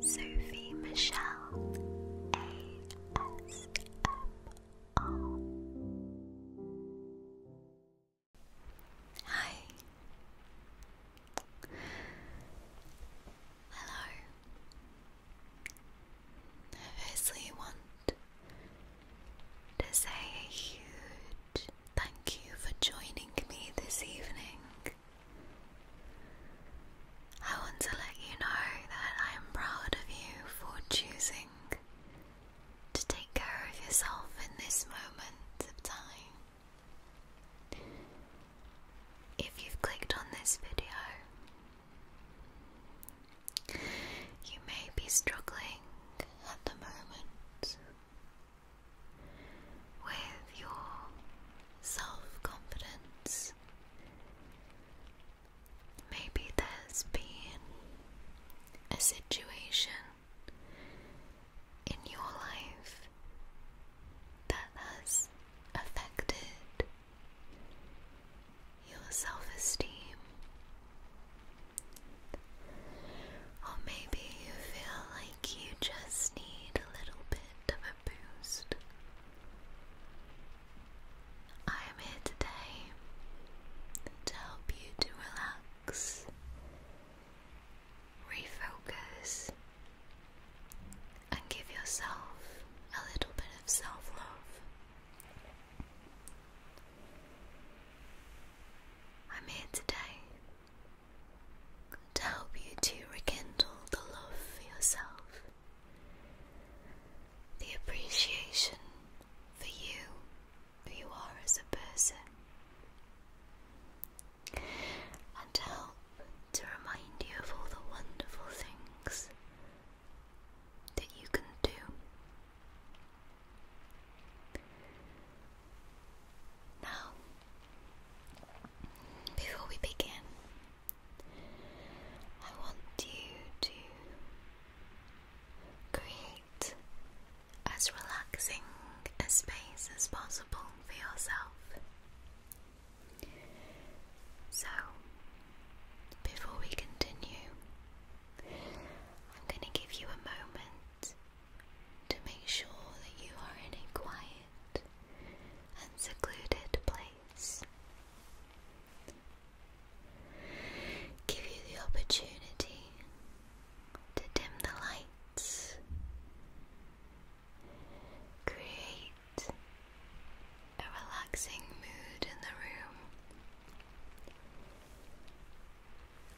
Sophie Michelle ASMR. Hi. Hello. I firstly want to say a huge thank you for joining me this evening. I want to let you know that I am proud of you for choosing to take care of yourself in this moment of time. If you've clicked on this video, you may be struggling at the moment with your self confidence. Maybe there's been a situation in your life that has affected your self esteem. Or maybe you feel like you just need a little bit of a boost. I am here today to help you to relax, refocus, and give yourself a little bit of self love. I'm here today to help you to rekindle the love for yourself, the appreciation for you, who you are as a person, and to help to remind you of all the wonderful things that you can do. Now, before we begin, I want you to create as relaxing a space as possible for yourself. So, before we continue, I'm going to give you a moment to make sure that you are in a quiet and secluded place. Give you the opportunity to dim the lights, create a relaxing mood in the room,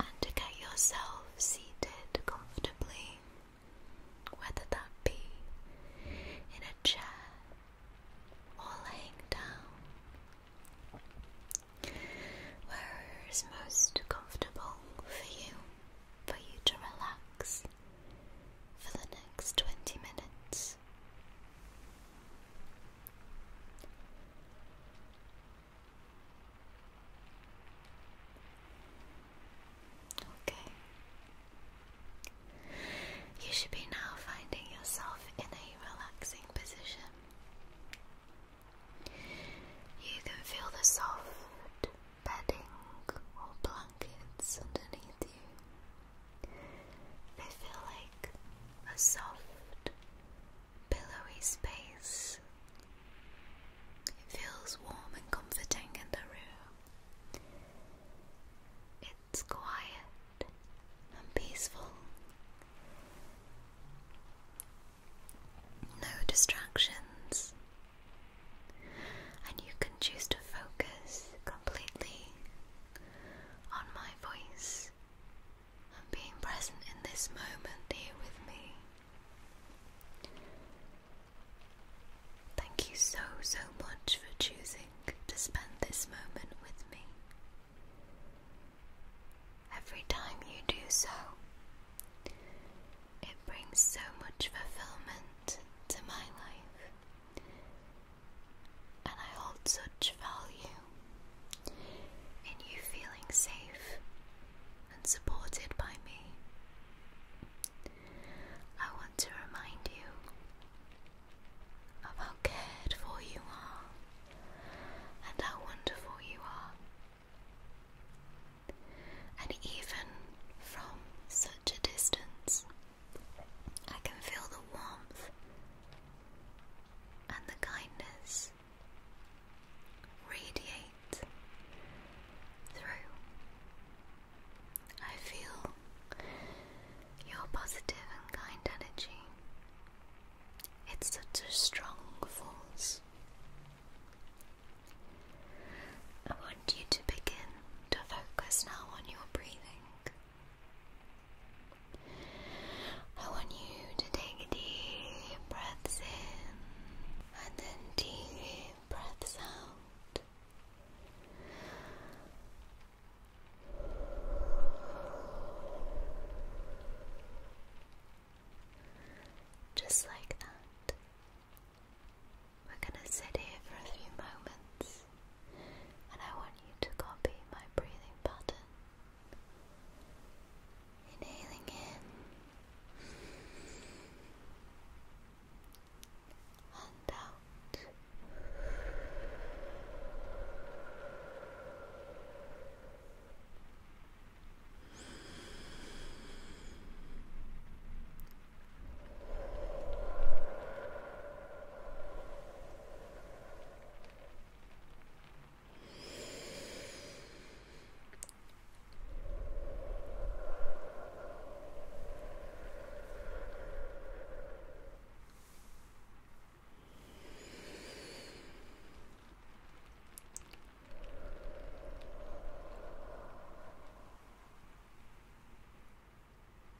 and to get yourself seated comfortably whether that be in a chair or laying down, wherever most comfortable for you, for you to relax for the next 20 minutes. Okay. You should be now finding yourself in a relaxing position. You can feel the soft bedding or blankets underneath you. They feel like a soft, pillowy space it feels warm and comforting in the room. It's quiet and peaceful. No distractions. And you can choose to focus completely on my voice and being present in this moment here with me. Thank you so, so much for choosing to spend this moment with me. Every time you do so, it brings so much fulfillment to my life, and I hold such value in you feeling safe and supported by me. I want to remind you of how cared for you are and how wonderful you are. And even from such a distance, I can feel the warmth and the kindness radiate through. I feel your positive and kind energy. It's such a strong force. I want you to begin to focus now on your breathing. I want you to take deep breaths in and then deep breaths out. Just like that. We're going to sit here for a few moments and I want you to copy my breathing pattern. Inhaling in and out.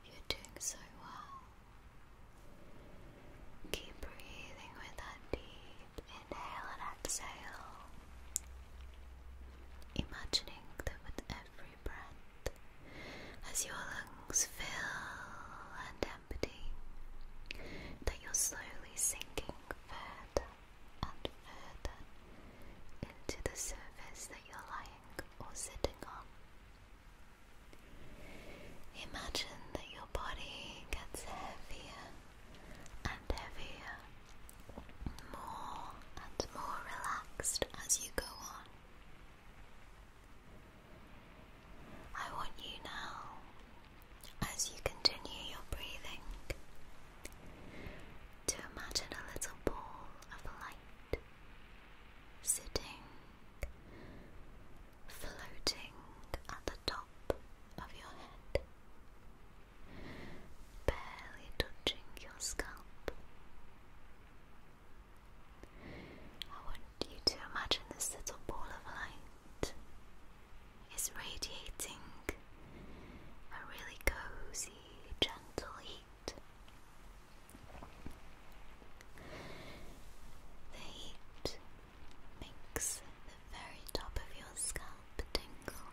You're doing so well. Keep breathing with that deep, inhale and exhale, imagining that with every breath, as your lungs fill and empty, that you're slowly sinking further and further into the surface that you're lying or sitting on. Imagine that your body gets heavier and heavier, more and more relaxed as you go on. I want you now, as you continue your breathing, to imagine a little ball of light sitting, floating at the top of your head barely touching your scalp. I want you to imagine this little ball of light is radiating a really cozy, gentle heat. The heat makes very top of your scalp tingle.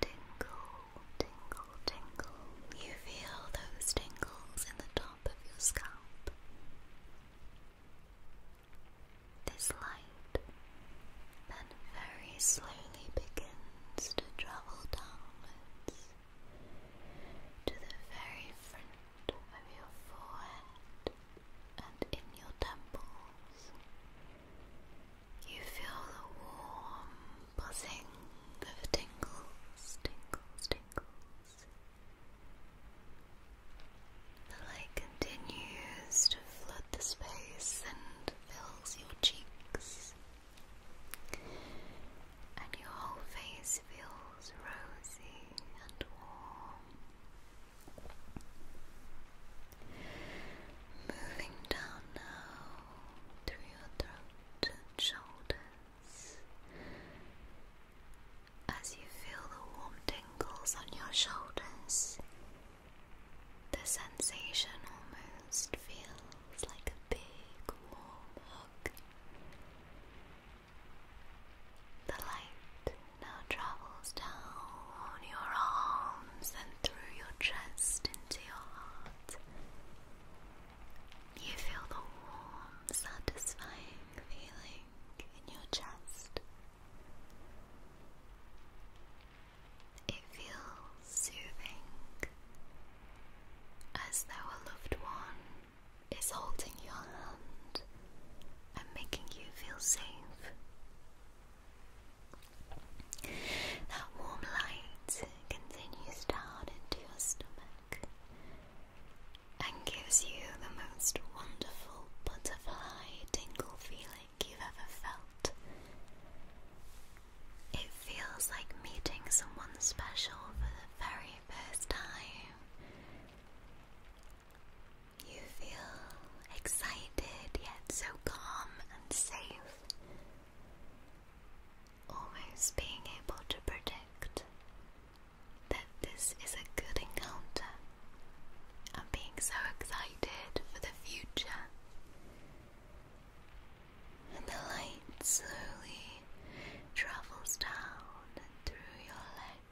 Tingle, tingle, tingle. You feel those tingles in the top of your scalp. This light then very slowly begins to travel downwards to the very front of your forehead and in your temples. You feel the warm buzzing of tingles, tingles, tingles. The light continues to flood the space and fills your cheeks, and your whole face feels rosy and warm. Moving down now through your throat shoulders. As you feel the warm tingles on your shoulders, the sensation almost feels like a big warm hug. The light now travels down your arms and through your chest into your heart. You feel the warm, satisfying feeling in your chest. It feels soothing as though a loved one is holding your hand and making you feel safe. That warm light continues down into your stomach and gives you the most wonderful butterfly tingle feeling you've ever felt. It feels like meeting someone special for the very first time. You feel excited yet so calm and safe, almost being able to predict that this is a good encounter. and being so excited for the future. And the light slowly travels down and through your legs.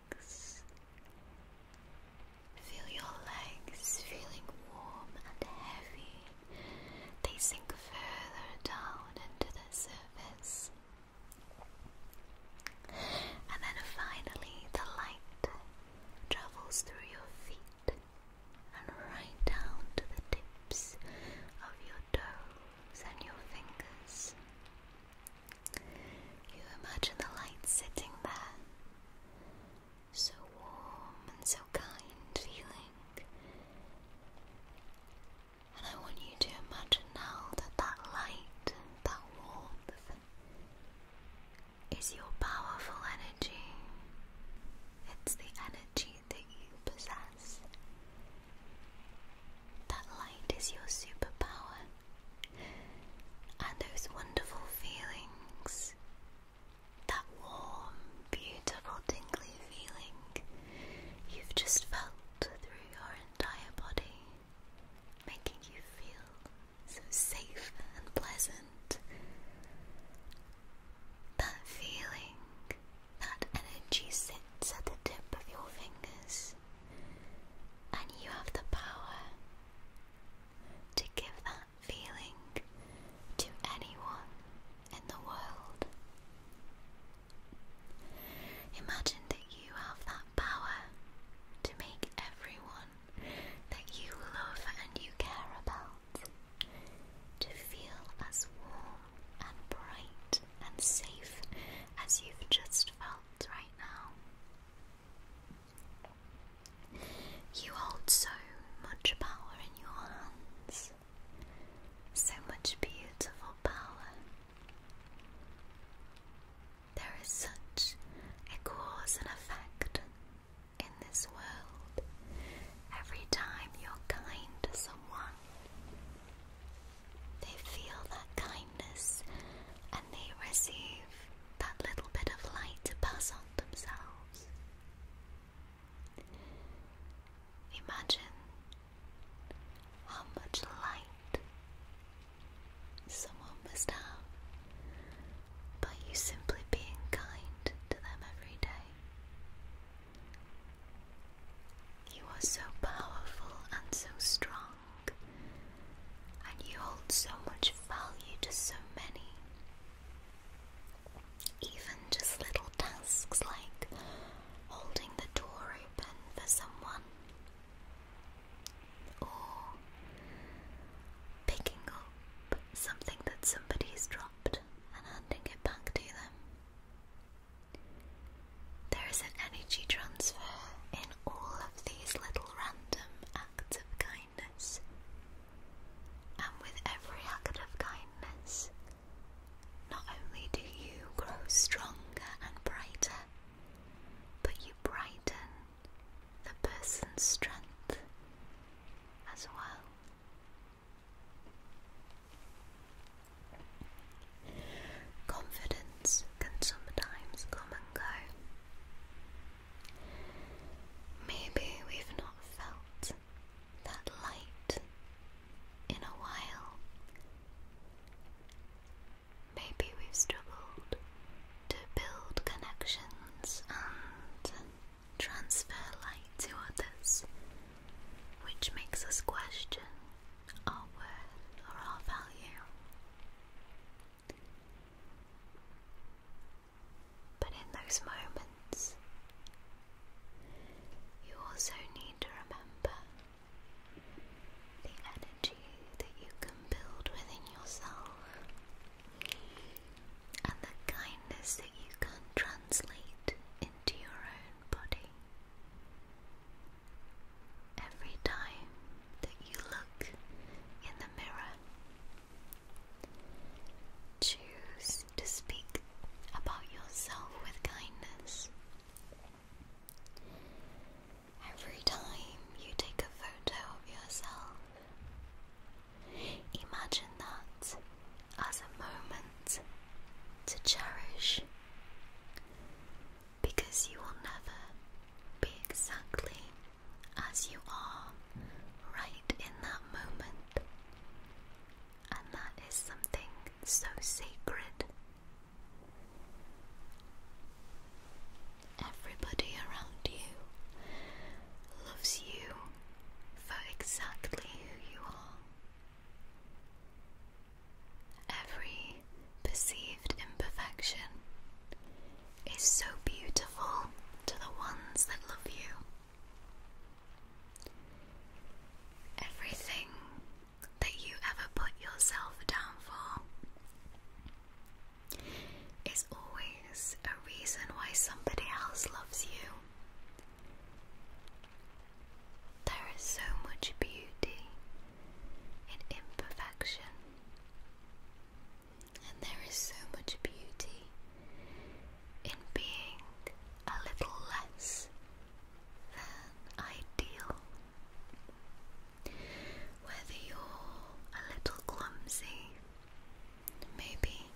Feel your legs feeling warm and heavy. They sink further down into the surface. And then finally, the light travels through your feet and right down to the tips of your toes and your fingers. You imagine the light sitting there, so warm and so kind feeling. And I want you to imagine now that that light, that warmth, is your powerful energy. It's the energy that you possess. That light is your superpower and those wonderful feelings, that warm, beautiful, tingly feeling you've just felt through your entire body, making you feel so safe and pleasant. That feeling, that energy sits at the tip of your fingers. And you have the power to give that feeling to anyone in the world. Imagine that you have that power to make everyone that you love and you care about to feel as warm and bright and safe as you've just felt right now. You hold so much power in your hands, so much beautiful power. There is such a cause and effect in this world every time you're kind to someone. They feel that kindness and they receive that little bit of light to pass on themselves. Imagine how much light someone must have by you simply being kind to them every day. You are so powerful and so strong young, and you hold so much value to so many. Even just little tasks like holding the door open for someone, or picking up something that somebody's dropped and handing it back to them. There is an energy transfer in all of these little random acts of kindness, and with every act of kindness, not only do you grow stronger and brighter, but you brighten the person's strength as well. Confidence can sometimes come and go. Maybe we've not felt that light in a while. Maybe we've struggled to build connections and transfer light to others, which makes us question our worth or our value. But in those moments, you also need to remember the energy that you can build within yourself and the kindness that you can translate into your own body every time that you look in the mirror. Choose to speak about yourself with kindness. Every time you take a photo of yourself, imagine that as a moment to cherish, because you will never be exactly as you are right in that moment. And that is something so sacred. Everybody around you loves you for exactly who you are. Every perceived imperfection is so beautiful to the ones that love you. Everything that you ever put yourself down for is always a reason why somebody else loves you. There is so much beauty and imperfection. And there is so much beauty in being a little less than ideal. Whether you're a little clumsy, maybe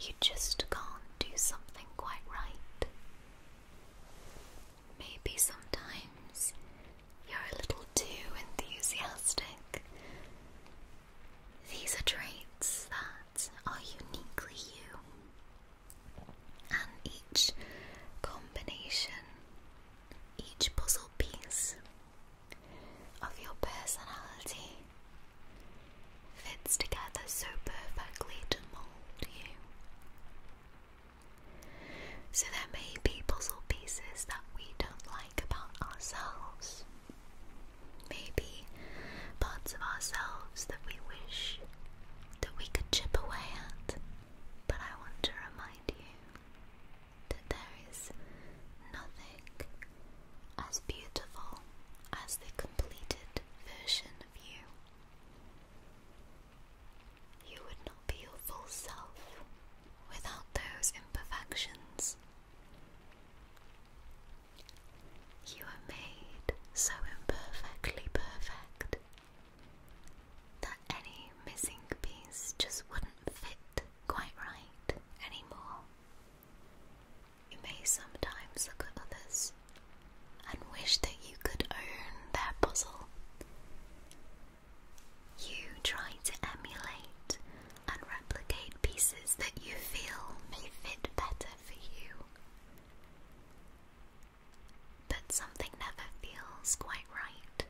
you just can't do something quite right. Maybe sometimes you're a little too enthusiastic. These are traits that are uniquely you, and each combination, each puzzle piece of your personality fits together so perfectly to mould you. So there may be puzzle pieces that we don't like about ourselves. Maybe parts of ourselves that we wish that we could chip away at. But I want to remind you that there is nothing as beautiful as the completed version of you. You would not be your full self without those imperfections. You are made so imperfectly perfect that any missing piece just wouldn't fit quite right anymore. You may sometimes look at others and wish that you could own their puzzle you try to emulate and replicate pieces that you feel may fit better for you. But something never feels quite right.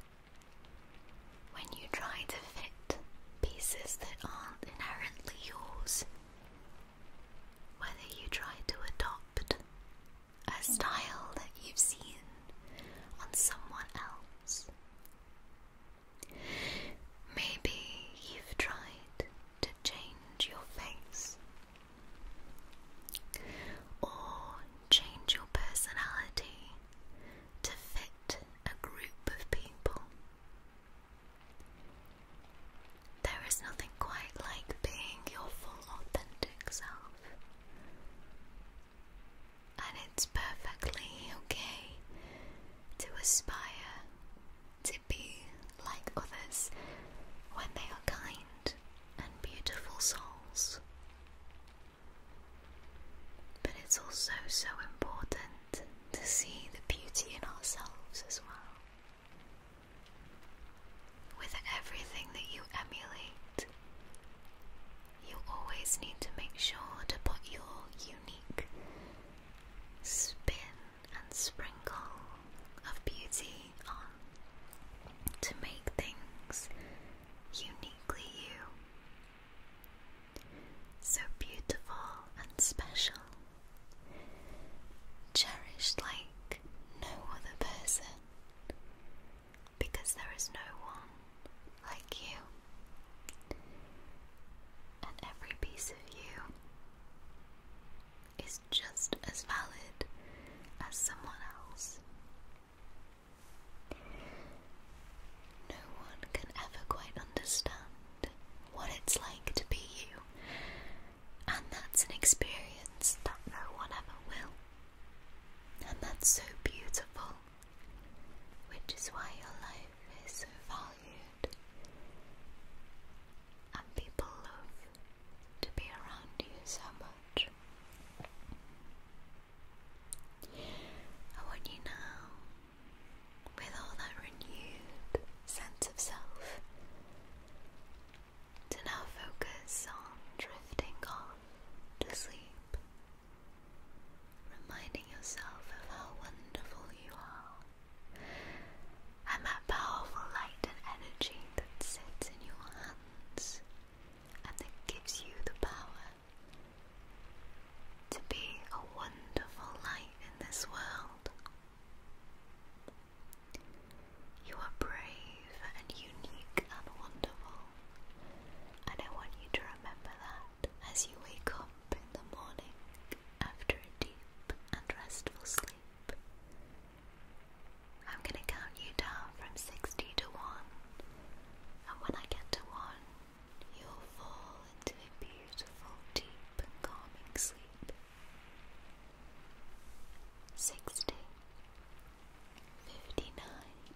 When you try to fit pieces that aren't inherently yours, whether you try to adopt a style that you've seen on someone else. Maybe you've tried to change your face or change your personality to fit a group of people. There is nothing quite like being your full authentic self. And it's perfectly okay to aspire to be like others when they are kind and beautiful souls. But it's also so important to see the beauty in ourselves as well. With everything that you emulate, you always need to make sure to put your unique spin and sprinkle of beauty on to make things uniquely you. So beautiful and special, cherished like no other person, because there is no one like you, and every piece of you is just as valid as someone else. No one can ever quite understand what it's like to be you, and that's an experience that no one ever will. And that's so beautiful, which is why your life is so valued. And people love to be around you so much. I want you now, with all that renewed sense of self, to now focus on drifting off to sleep, reminding yourself of how wonderful you are and that powerful light and energy that sits in your hands and that gives you the power to be a wonderful light in this world. You are brave and unique and wonderful, and I want you to remember that as you wake up in the morning after a deep and restful sleep. I'm going to count you down from 60 to 1, and when I get to 1, you'll fall into a beautiful, deep, and calming sleep sixty, fifty nine,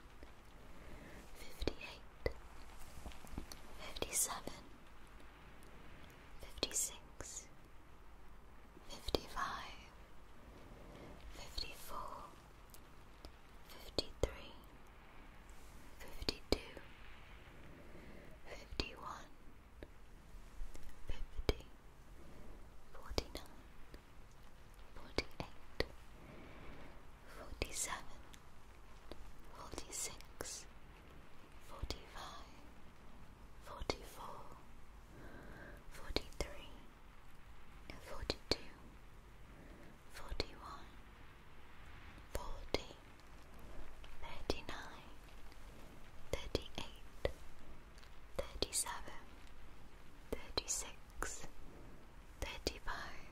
fifty eight, fifty seven, fifty six, fifty five, fifty four, fifty three, fifty two, fifty one, fifty forty-nine, forty-eight, forty-seven, forty-six, forty-five, forty-four, forty-three, forty-two, forty-one, forty, thirty-nine, thirty-eight, thirty-seven, thirty-six, thirty-five,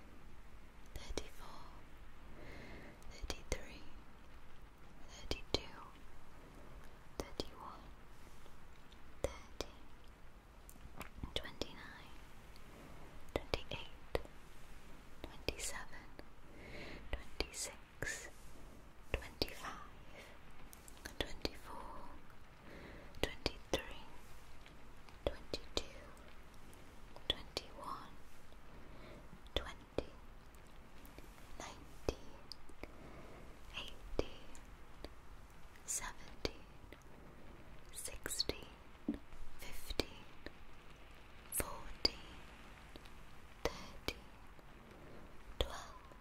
thirty-four, thirty-three, thirty-two, thirty-one, thirty, twenty-nine, twenty-eight, twenty-seven, twenty-six, twenty-five. 25, 26, 25, 24, 23, 22, 21, 20, 20, 21, twenty-four, twenty-three, twenty-two, twenty-one, twenty, nineteen, eighteen, seventeen, sixteen, fifteen, fourteen, thirteen, twelve